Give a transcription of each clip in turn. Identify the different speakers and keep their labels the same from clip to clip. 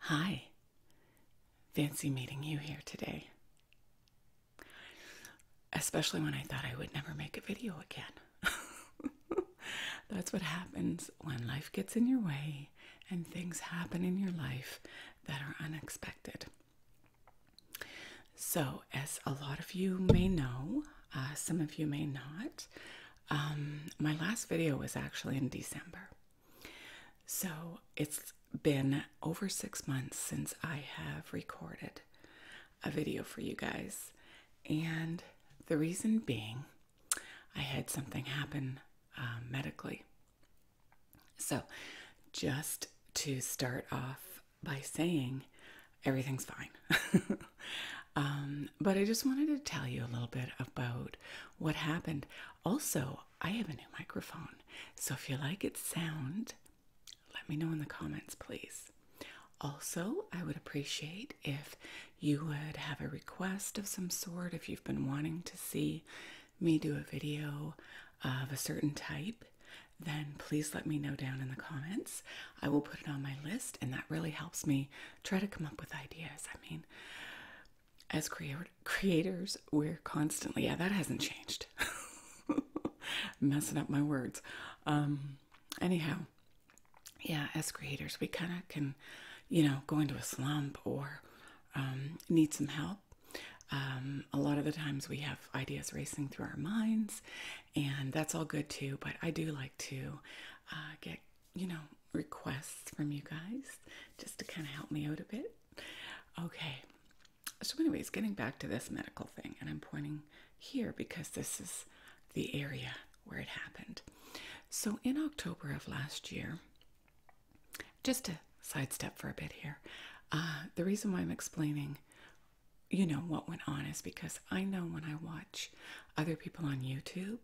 Speaker 1: Hi. Fancy meeting you here today. Especially when I thought I would never make a video again. That's what happens when life gets in your way and things happen in your life that are unexpected. So, as a lot of you may know, uh, some of you may not, um, my last video was actually in December. So it's been over six months since I have recorded a video for you guys, and the reason being I had something happen uh, medically. So, just to start off by saying, everything's fine. Um, but I just wanted to tell you a little bit about what happened. Also, I have a new microphone, so if you like its sound, let me know in the comments, please. Also, I would appreciate if you would have a request of some sort if you've been wanting to see me do a video of a certain type. Then please let me know down in the comments. I will put it on my list, and that really helps me try to come up with ideas. I mean, as creators, we're constantly yeah, that hasn't changed. Messing up my words. Um, anyhow, yeah, as creators, we kind of can, you know, go into a slump or um, need some help. Um, a lot of the times we have ideas racing through our minds, and that's all good too. But I do like to uh, get you know, requests from you guys just to kind of help me out a bit. Okay. So, anyways, getting back to this medical thing, and I'm pointing here because this is the area where it happened. So, in October of last year, just to sidestep for a bit here, uh, the reason why I'm explaining, you know, what went on is because I know when I watch other people on YouTube,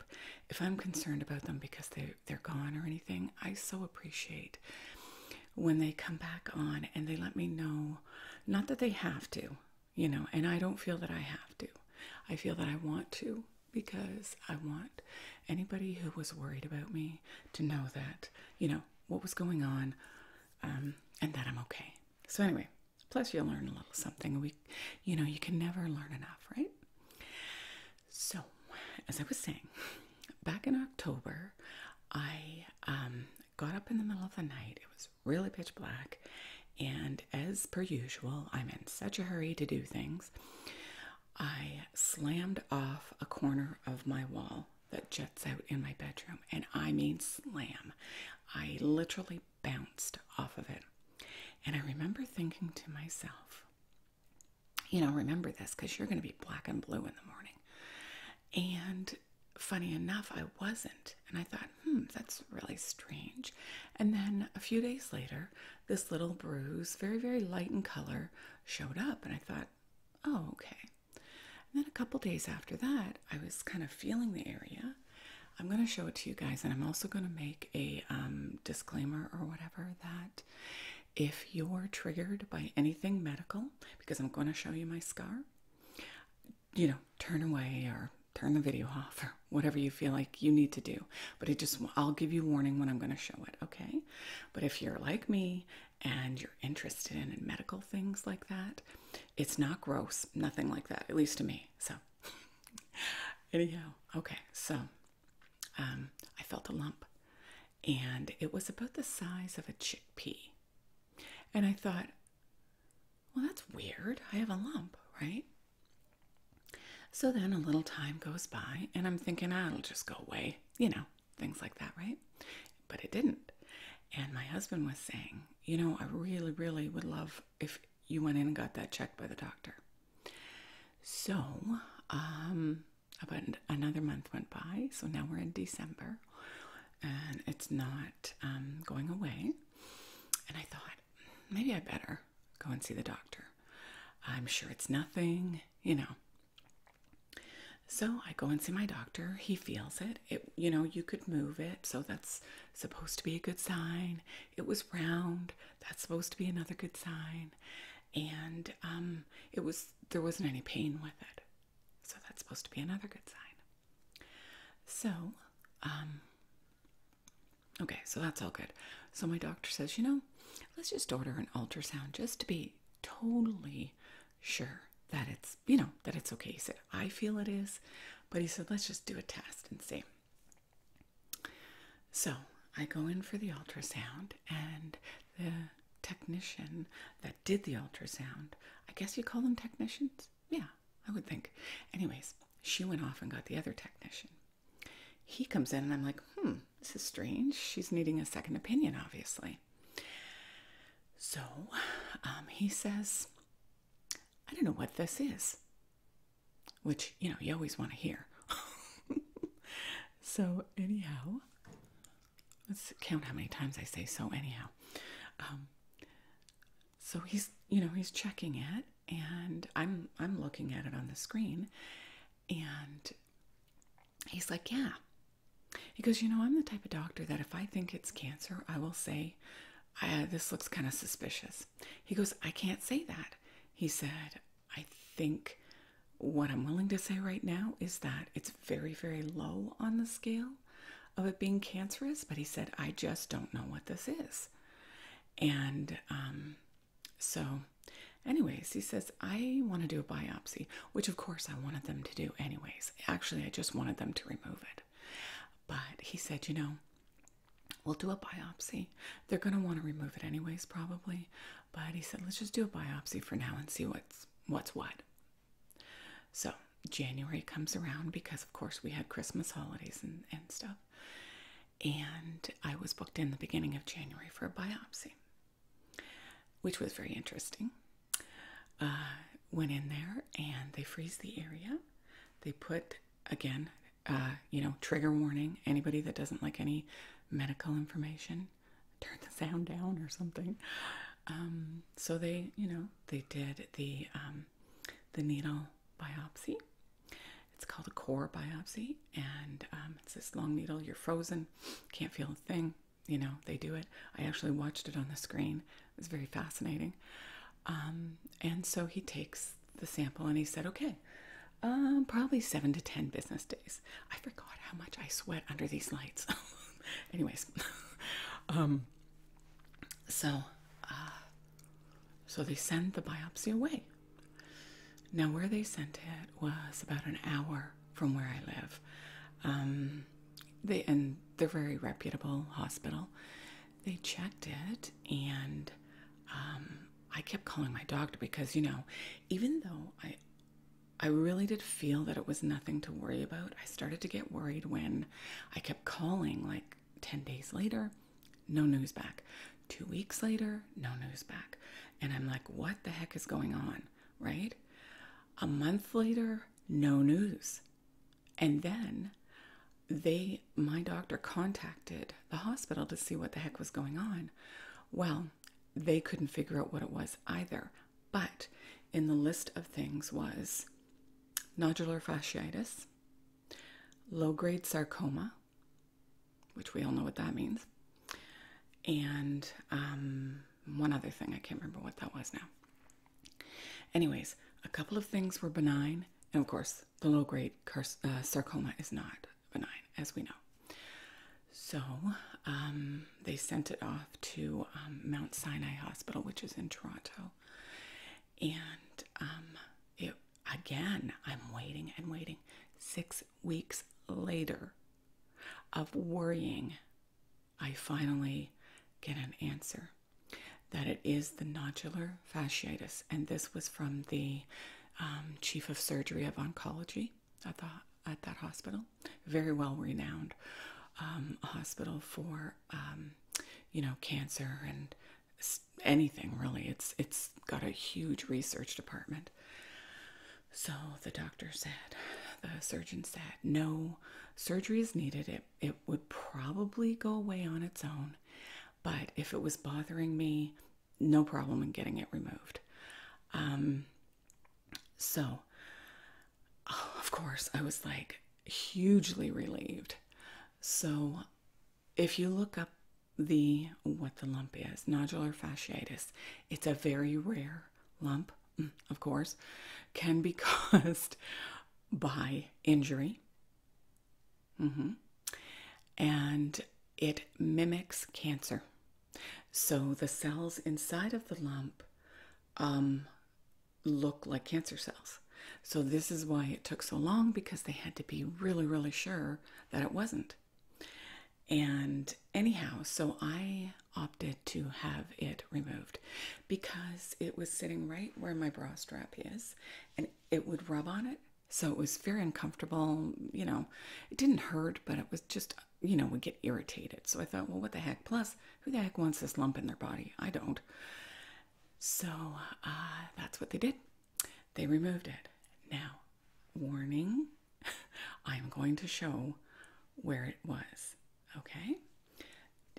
Speaker 1: if I'm concerned about them because they they're gone or anything, I so appreciate when they come back on and they let me know not that they have to, you know, and I don't feel that I have to. I feel that I want to because I want anybody who was worried about me to know that, you know, what was going on um, and that I'm okay. So anyway, Plus, you learn a little something. We, you know, you can never learn enough, right? So, as I was saying, back in October, I um, got up in the middle of the night. It was really pitch black, and as per usual, I'm in such a hurry to do things. I slammed off a corner of my wall that juts out in my bedroom, and I mean slam. I literally bounced off of it. And I remember thinking to myself, you know, remember this because you're going to be black and blue in the morning. And funny enough, I wasn't. And I thought, hmm, that's really strange. And then a few days later, this little bruise, very, very light in color, showed up. And I thought, oh, okay. And then a couple days after that, I was kind of feeling the area I'm going to show it to you guys, and I'm also going to make a um, disclaimer or whatever that if you're triggered by anything medical, because I'm going to show you my scar, you know, turn away or turn the video off or whatever you feel like you need to do. But it just, I'll give you warning when I'm going to show it, okay? But if you're like me and you're interested in medical things like that, it's not gross, nothing like that, at least to me. So. Anyhow, okay, so um, I felt a lump and it was about the size of a chickpea. And I thought, well, that's weird. I have a lump, right? So then a little time goes by, and I'm thinking, ah, it'll just go away, you know, things like that, right? But it didn't. And my husband was saying, you know, I really, really would love if you went in and got that checked by the doctor. So, um, about another month went by. So now we're in December, and it's not um, going away. And I thought maybe I better go and see the doctor. I'm sure it's nothing, you know. So I go and see my doctor. He feels it. It, you know, you could move it, so that's supposed to be a good sign. It was round. That's supposed to be another good sign. And um, it was there wasn't any pain with it. So that's supposed to be another good sign. So, um, okay, so that's all good. So my doctor says, you know, let's just order an ultrasound just to be totally sure that it's, you know, that it's okay. He said, I feel it is. But he said, let's just do a test and see. So I go in for the ultrasound, and the technician that did the ultrasound, I guess you call them technicians? Yeah, I would think. Anyways, she went off and got the other technician. He comes in, and I'm like, hmm, this is strange. She's needing a second opinion, obviously. So um, he says, I don't know what this is, which, you know, you always want to hear. so, anyhow, let's count how many times I say so, anyhow. Um, so he's, you know, he's checking it and I'm I'm looking at it on the screen and he's like, "Yeah." He goes, "You know, I'm the type of doctor that if I think it's cancer, I will say uh, this looks kind of suspicious. He goes, I can't say that. He said, I think what I'm willing to say right now is that it's very, very low on the scale of it being cancerous, but he said, I just don't know what this is. And um, so, anyways, he says, I want to do a biopsy, which of course I wanted them to do, anyways. Actually, I just wanted them to remove it. But he said, you know, we'll do a biopsy. They're going to want to remove it anyways, probably. But he said, let's just do a biopsy for now and see what's what's what. So January comes around because, of course, we had Christmas holidays and, stuff. And I was booked in the beginning of January for a biopsy, which was very interesting. Uh, went in there and they freeze the area. They put, again, uh, you know, trigger warning. Anybody that doesn't like any medical information, turn the sound down or something. Um, so they, you know, they did the um, the needle biopsy. It's called a core biopsy, and um, it's this long needle. You're frozen, can't feel a thing. You know, they do it. I actually watched it on the screen, it was very fascinating. Um, and so he takes the sample and he said, okay, um, probably seven to ten business days. I forgot how much I sweat under these lights. Anyways, um, so uh, so they send the biopsy away. Now, where they sent it was about an hour from where I live they and they're very reputable hospital. They checked it, and um, I kept calling my doctor because you know, even though I, I really did feel that it was nothing to worry about. I started to get worried when I kept calling, like ten days later, no news back. Two weeks later, no news back, and I'm like, what the heck is going on, right? A month later, no news. And then they, my doctor contacted the hospital to see what the heck was going on. Well, they couldn't figure out what it was either. But in the list of things was nodular fasciitis, low grade sarcoma, which we all know what that means, and um, one other thing, I can't remember what that was now. Anyways, a couple of things were benign, and of course, the low grade uh, sarcoma is not benign, as we know. So um, they sent it off to um, Mount Sinai Hospital, which is in Toronto. And um, again, I'm waiting and waiting. Six weeks later of worrying I finally get an answer that it is the nodular fasciitis. And this was from the um, chief of surgery of oncology at, the, at that hospital, very well renowned um, hospital for, um, you know, cancer and anything really. It's, it's got a huge research department. So the doctor said, the surgeon said, no surgery is needed, it, it would probably go away on its own. But if it was bothering me, no problem in getting it removed. Um, so, of course, I was like hugely relieved. So, if you look up the what the lump is, nodular fasciitis, it's a very rare lump. of course, can be caused by injury. Mm-hmm. And it mimics cancer. So the cells inside of the lump um, look like cancer cells. So this is why it took so long because they had to be really, really sure that it wasn't. And anyhow, so I opted to have it removed because it was sitting right where my bra strap is and it would rub on it. So it was very uncomfortable. You know, it didn't hurt, but it was just, you know, would get irritated. So I thought, well, what the heck? Plus, who the heck wants this lump in their body? I don't. So uh, that's what they did. They removed it. Now, warning I'm going to show where it was, okay?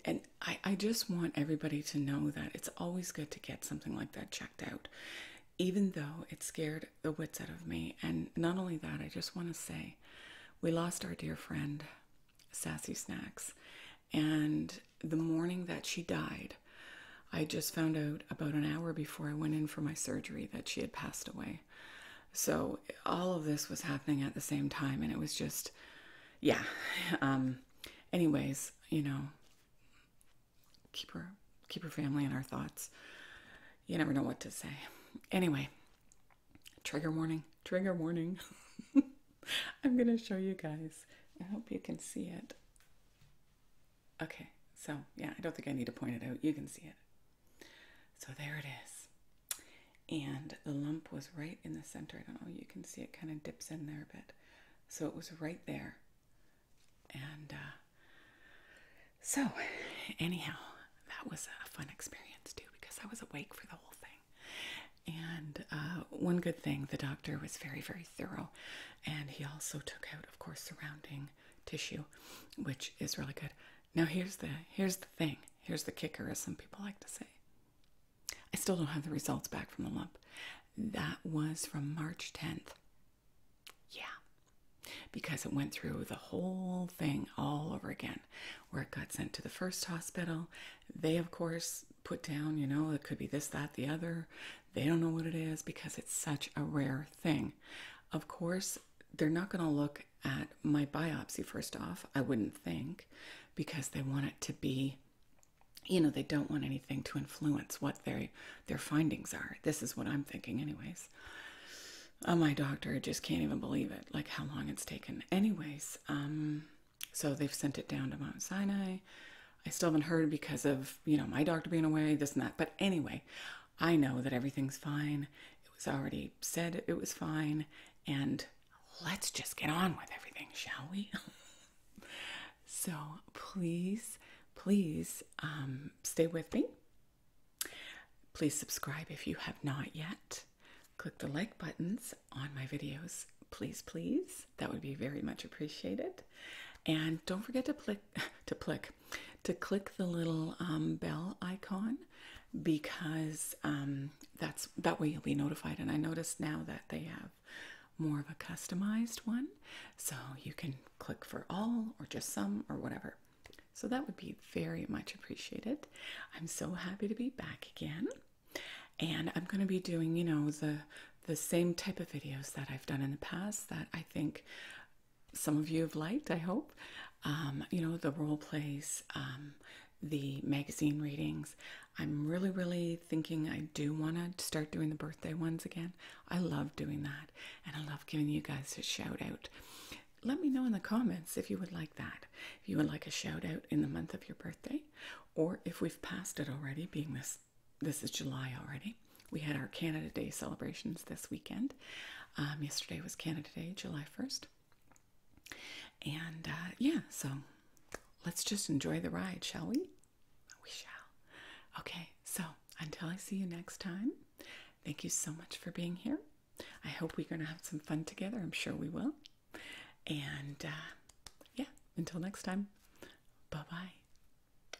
Speaker 1: And I, I just want everybody to know that it's always good to get something like that checked out, even though it scared the wits out of me. And not only that, I just want to say we lost our dear friend, Sassy Snacks. And the morning that she died, I just found out about an hour before I went in for my surgery that she had passed away. So all of this was happening at the same time, and it was just, yeah. Um, anyways, you know, keep her, keep her family in our thoughts. You never know what to say. Anyway, trigger warning, trigger warning. I'm gonna show you guys. I hope you can see it. Okay, so yeah, I don't think I need to point it out. You can see it. So there it is and the lump was right in the center. I don't know, you can see it kind of dips in there a bit. So it was right there. And uh, so, anyhow, that was a fun experience too because I was awake for the whole thing. And uh, one good thing, the doctor was very, very thorough. And he also took out, of course, surrounding tissue, which is really good. Now here's the here's the thing. Here's the kicker, as some people like to say. I still don't have the results back from the lump. That was from March 10th. Yeah. Because it went through the whole thing all over again, where it got sent to the first hospital. They, of course, put down, you know, it could be this, that, the other. They don't know what it is because it's such a rare thing. Of course, they're not going to look at my biopsy first off, I wouldn't think, because they want it to be you know, they don't want anything to influence what their their findings are. This is what I'm thinking anyways. Uh, my doctor just can't even believe it, like how long it's taken. Anyways, um, so they've sent it down to Mount Sinai. I still haven't heard because of, you know, my doctor being away, this and that. But anyway, I know that everything's fine. It was already said it was fine. And let's just get on with everything, shall we? so please, please um, stay with me. Please subscribe if you have not yet. Click the like buttons on my videos, please, please. That would be very much appreciated. And don't forget to click, to click, to click the little um, bell icon because um, that's that way you'll be notified. And I noticed now that they have more of a customized one, so you can click for all or just some or whatever. So that would be very much appreciated. I'm so happy to be back again. And I'm going to be doing, you know, the the same type of videos that I've done in the past that I think some of you have liked, I hope. Um, you know, the role plays, um, the magazine readings. I'm really, really thinking I do want to start doing the birthday ones again. I love doing that, and I love giving you guys a shout out. Let me know in the comments if you would like that. If you would like a shout out in the month of your birthday, or if we've passed it already, being this this is July already we had our Canada Day celebrations this weekend. Um, yesterday was Canada Day, July 1st. And uh, yeah, so let's just enjoy the ride, shall we? We shall. Okay, so until I see you next time, thank you so much for being here. I hope we're going to have some fun together. I'm sure we will. And uh, yeah, until next time, bye bye.